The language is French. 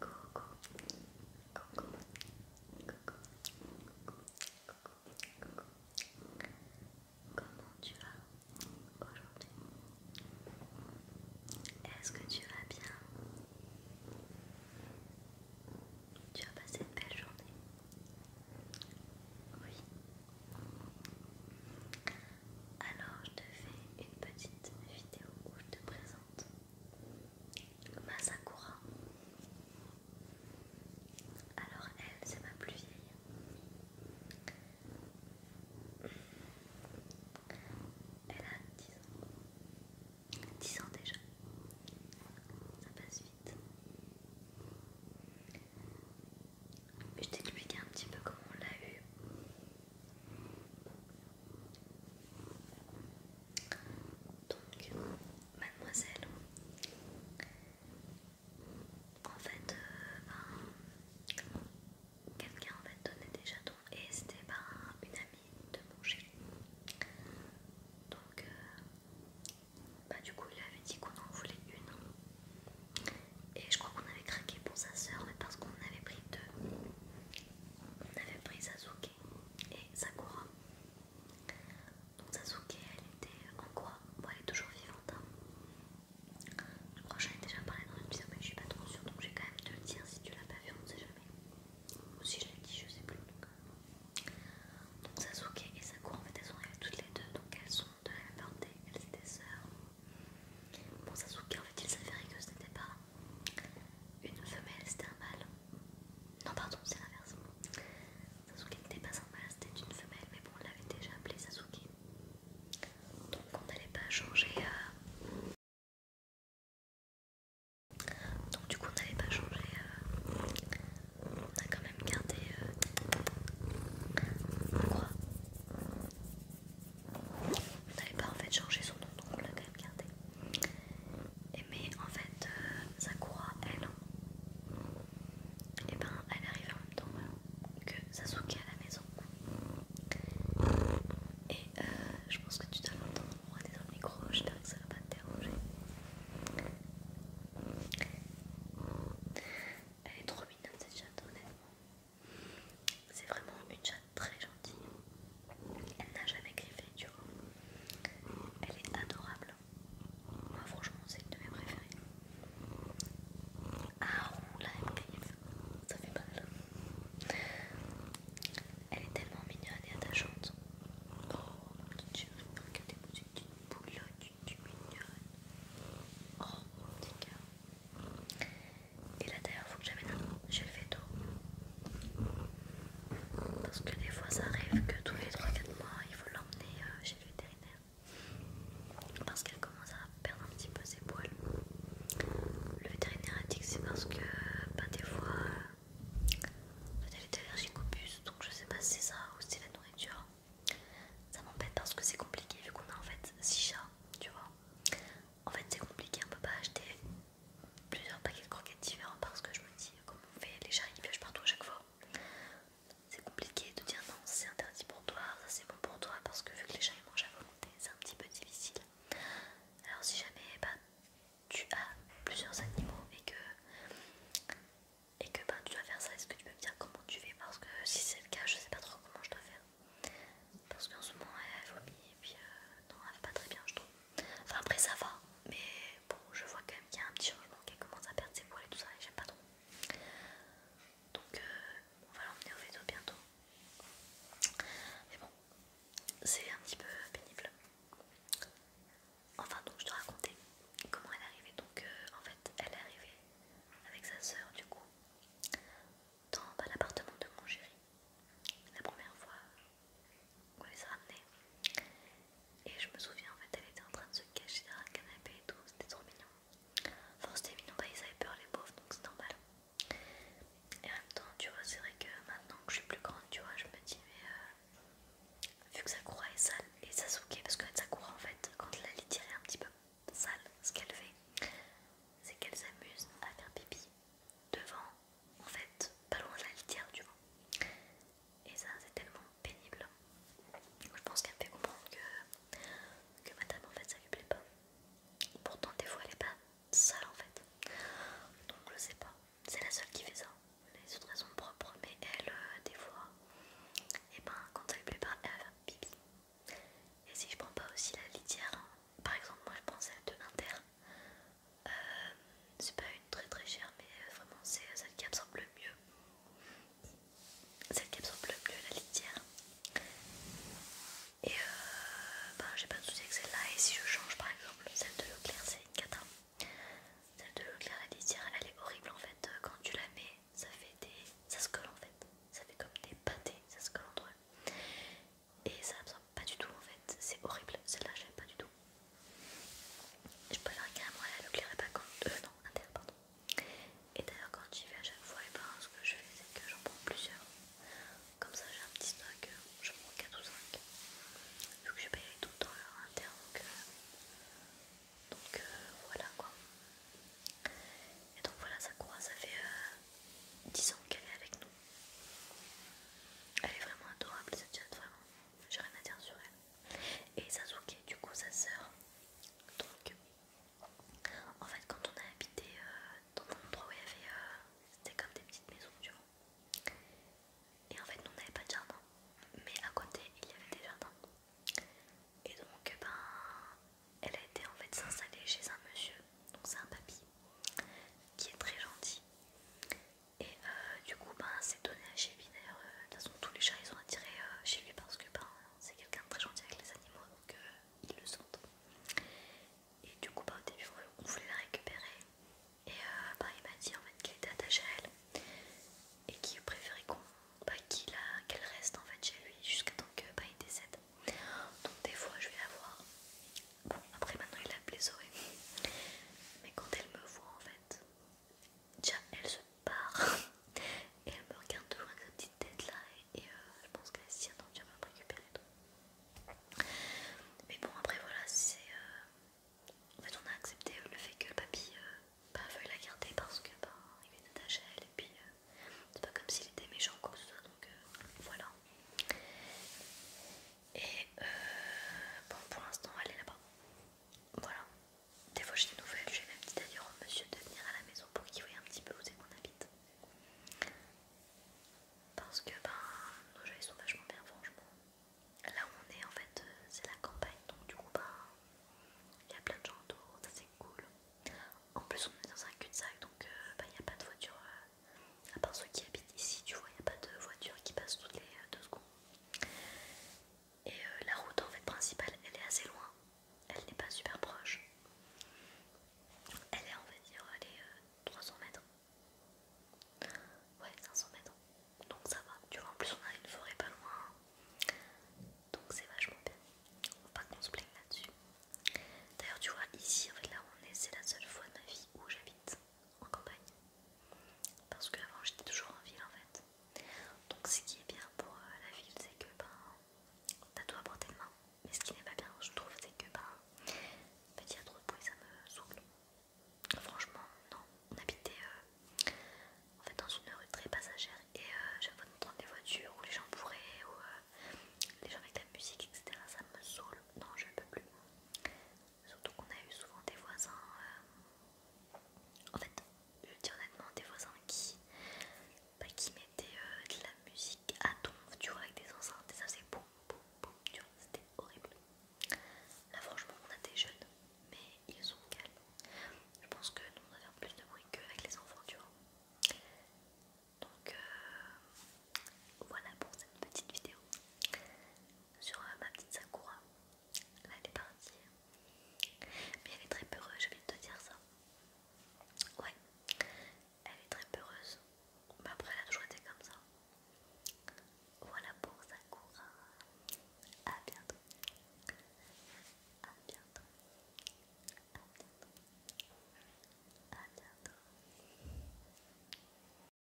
Coucou Coucou Comment tu vas aujourd'hui Est-ce que tu vas bien Tu as passé une belle journée Oui. Alors je te fais une petite vidéo où je te présente Masakura. Alors elle, c'est ma plus vieille. Elle a 10 ans. 10 ans déjà. Ça passe vite. Je t'expliquais un petit peu comment on l'a eu. Donc, mademoiselle, en fait, euh, ben, quelqu'un en fait donnait des chatons et c'était par une amie de mon chéri. Donc, euh, bah, du coup, il avait dit qu'on en voulait une. Et je crois qu'on avait craqué pour sa soeur, mais parce qu'on en avait pris deux on avait pris Sasuke et Sakura. Donc Sasuke, elle était en quoi Bon, elle est toujours vivante. Je crois que j'en ai déjà parlé dans une vidéo, mais je suis pas trop sûre, donc je vais quand même te le dire si tu l'as pas vu, on ne sait jamais. Ou si je l'ai dit, je ne sais plus. Donc, donc Sasuke et Sakura, en fait, elles sont arrivées toutes les deux, donc elles sont de la même elles étaient sœurs. Bon, Sasuke, en fait, il fait que ce n'était pas une femelle c'était un mâle. Non pardon c'est l'inverse. Sasuke n'était pas un mâle, c'était une femelle mais bon on l'avait déjà appelé Sasuke. Donc on n'allait pas changer... Euh, donc du coup on n'allait pas changer... Euh, on a quand même gardé euh, on n'allez pas en fait changé son nom, donc on l'a quand même gardé. mais en fait, euh, Sakura, elle, et hein, eh ben, elle est arrivée en même temps hein, que Sasuke à la maison. Et euh, je pense que tu dois l'entendre moi dans le micro, j'espère que ça va pas te déranger. Elle est trop mignonne cette chatte, honnêtement. C'est vraiment une chatte très gentille. Elle n'a jamais griffé du tout Elle est adorable. Moi franchement c'est une de mes préférées. Ah là elle griffe. Ça fait mal. Elle est tellement mignonne et attachante. Oh ma petite chérie, regardez-moi cette petite boulotte, tu es mignonne. Oh mon dieu et là d'ailleurs faut que j'amène un chez le veto Parce que des fois ça arrive que tous les 3-4 mois il faut l'emmener euh, chez le vétérinaire Parce qu'elle commence à perdre un petit peu ses poils Le vétérinaire a dit que c'est parce que ben des fois euh, elle est allergique au bus donc je sais pas si c'est ça ou si c'est la nourriture ça m'embête parce que c'est compliqué vu qu'on a en fait 6 chats, tu vois. En fait, c'est compliqué, on peut pas acheter plusieurs paquets de croquettes différents parce que je me dis, comment on fait les chats, ils piochent partout à chaque fois. C'est compliqué de dire non, c'est interdit pour toi, ça c'est bon pour toi parce que vu que les chats ils mangent à volonté, c'est un petit peu difficile. Alors, si jamais bah, tu as plusieurs animaux et que, et que bah, tu dois faire ça, est-ce que tu peux me dire comment tu fais Parce que si c'est le cas, je sais pas trop comment je dois faire. Parce qu'en ce moment, elle vomit et puis euh, non, elle va pas très bien, je trouve. Enfin, après ça va, mais bon, je vois quand même qu'il y a un petit changement, qu'elle commence à perdre ses poils et tout ça, et j'aime pas trop. Donc, euh, on va l'emmener au vélo bientôt. Mais bon, c'est un petit peu pénible. Enfin, donc, je dois raconter comment elle est arrivée. Donc, euh, en fait, elle est arrivée avec sa soeur, du coup, dans l'appartement de mon chéri. La première fois, Quoi ça Et je me souviens, en fait, elle était en train de se cacher derrière le canapé et tout, c'était trop mignon. Enfin, c'était mignon, bah, ils avaient peur, les pauvres, donc c'est normal. Et en même temps, tu vois, c'est vrai que maintenant que je suis plus grande, tu vois, je me dis, mais euh, vu que Sakura est sale et ça Sasuke, parce que Sakura, en fait, quand la litière est un petit peu sale, ce qu'elle fait, c'est qu'elle s'amuse à faire pipi devant en fait pas loin de la litière du vent et ça c'est tellement pénible je pense qu'elle fait comprendre que, que madame en fait ça lui plaît pas pourtant des fois elle est pas sale en fait donc je sais pas c'est la seule qui fait ça mais c'est elles raison propre mais elle euh, des fois et eh ben quand ça lui plaît pas elle va faire et si je prends pas aussi la litière hein, par exemple moi je prends celle de l'inter euh, c'est pas une très très chère, mais euh, vraiment c'est euh, celle qui absorbe le mieux. Celle qui absorbe le mieux la litière. Et euh, ben, j'ai pas de soucis avec celle-là. Et si je change par exemple celle de claire c'est une cata. Celle de Leclerc, la litière, elle est horrible en fait. Quand tu la mets, ça fait des. ça se colle en fait. Ça fait comme des pâtés, ça se colle entre eux et ça me semble pas du tout en fait, c'est horrible, celle-là j'aime pas du tout. Je peux la carrément à et pas quand... Euh non, inter, pardon. Et d'ailleurs quand j'y vais à chaque fois, et eh ben, ce que je fais c'est que j'en prends plusieurs. Comme ça j'ai un petit stock, euh, je prends 4 ou 5. Vu que je paye tout dans temps donc, euh, donc euh, voilà quoi. Et donc voilà, ça croit, ça fait 10 ans qu'elle est avec nous. Elle est vraiment adorable cette chatte, vraiment. J'ai rien à dire sur elle. Et Sasuke, du coup, sa sœur. Donc, en fait, quand on a habité euh, dans un endroit où il y avait. Euh, c'était comme des petites maisons, tu vois. Et en fait, nous, on n'avait pas de jardin. Mais à côté, il y avait des jardins. Et donc, ben, elle a été en fait s'installer chez un monsieur, donc c'est un papy, qui est très gentil. Et euh, du coup, ben, c'est donné à lui. d'ailleurs. Euh, de toute façon, tous les chats ils sont attirés euh, chez lui parce que ben, c'est quelqu'un de très gentil avec les animaux donc ils le sentent. Et du coup, ben, au début, on voulait la récupérer. Et ben, il m'a dit en fait qu'elle était attachée à elle et qu'il préférait qu'on ben, qu'elle reste en fait chez lui jusqu'à temps qu'il décède. Donc des fois je vais la voir Bon, après maintenant il a Zoé. Mais quand elle me voit en fait, déjà elle se part et elle me regarde toujours avec sa petite tête là et, euh, je pense qu'elle s'y attend, je vais me récupérer Mais bon après voilà, c'est... Euh, en fait on a accepté euh, le fait que le papy bah, veuille la garder parce que bah, il est attaché à elle et puis c'est pas comme s'il était méchant quoi que ce donc voilà. Et euh, bon, pour l'instant, elle est là-bas. Voilà. Des fois, j'ai des nouvelles. J'ai même dit d'ailleurs au monsieur de venir à la maison pour qu'il voyait un petit peu où c'est qu'on habite. Parce que ben, nos jeux ils sont vachement bien, franchement. Là où on est, en fait, euh, c'est la campagne. Donc, du coup, ben, il y a plein de gens autour. Ça, c'est cool. En plus, on est dans un cul-de-sac. Donc, euh, ben, il n'y a pas de voiture à part ceux qui habitent ici, tu vois, il n'y a pas de voiture qui passe toutes les euh, deux secondes. Et euh, la route en fait principale, elle est assez loin, elle n'est pas super proche. Elle est, on va dire, elle est 300 euh, mètres. Ouais, 500 mètres. Donc ça va, tu vois, en plus on a une forêt pas loin. Donc c'est vachement bien. Faut pas qu'on se plaigne là-dessus. D'ailleurs, tu vois, ici, en fait, là, on est, c'est la seule fois de ma vie où j'habite en campagne parce que avant j'étais toujours en ville en fait donc ce qui est bien pour euh, la ville c'est que ben t'as tout à portée de main mais ce qui n'est pas bien je trouve c'est que ben il y trop de bruit ça me saoule franchement non on habitait euh, en fait dans une rue très passagère et euh, j'avais pas d'entendre des voitures où les gens pourraient ou euh, les gens avec la musique etc ça me saoule non je ne peux plus Surtout qu'on a eu souvent des voisins. Euh, en fait, je veux honnêtement, des voisins qui, bah, mettaient euh, de la musique à ton tu vois, avec des enceintes et ça c'est boum boum boum, tu vois, c'était horrible. Là, franchement, on a des jeunes, mais ils sont calmes. Je pense que nous, on a fait plus de bruit qu'avec les enfants, tu vois. Donc euh, voilà pour cette petite vidéo sur euh, ma petite Sakura. Là, elle est partie. Mais elle est très peureuse, je viens de te dire ça. Ouais, elle est très peureuse. Mais après, elle a toujours été comme ça. Voilà pour Sakura. à bientôt. à bientôt. à bientôt. A bientôt.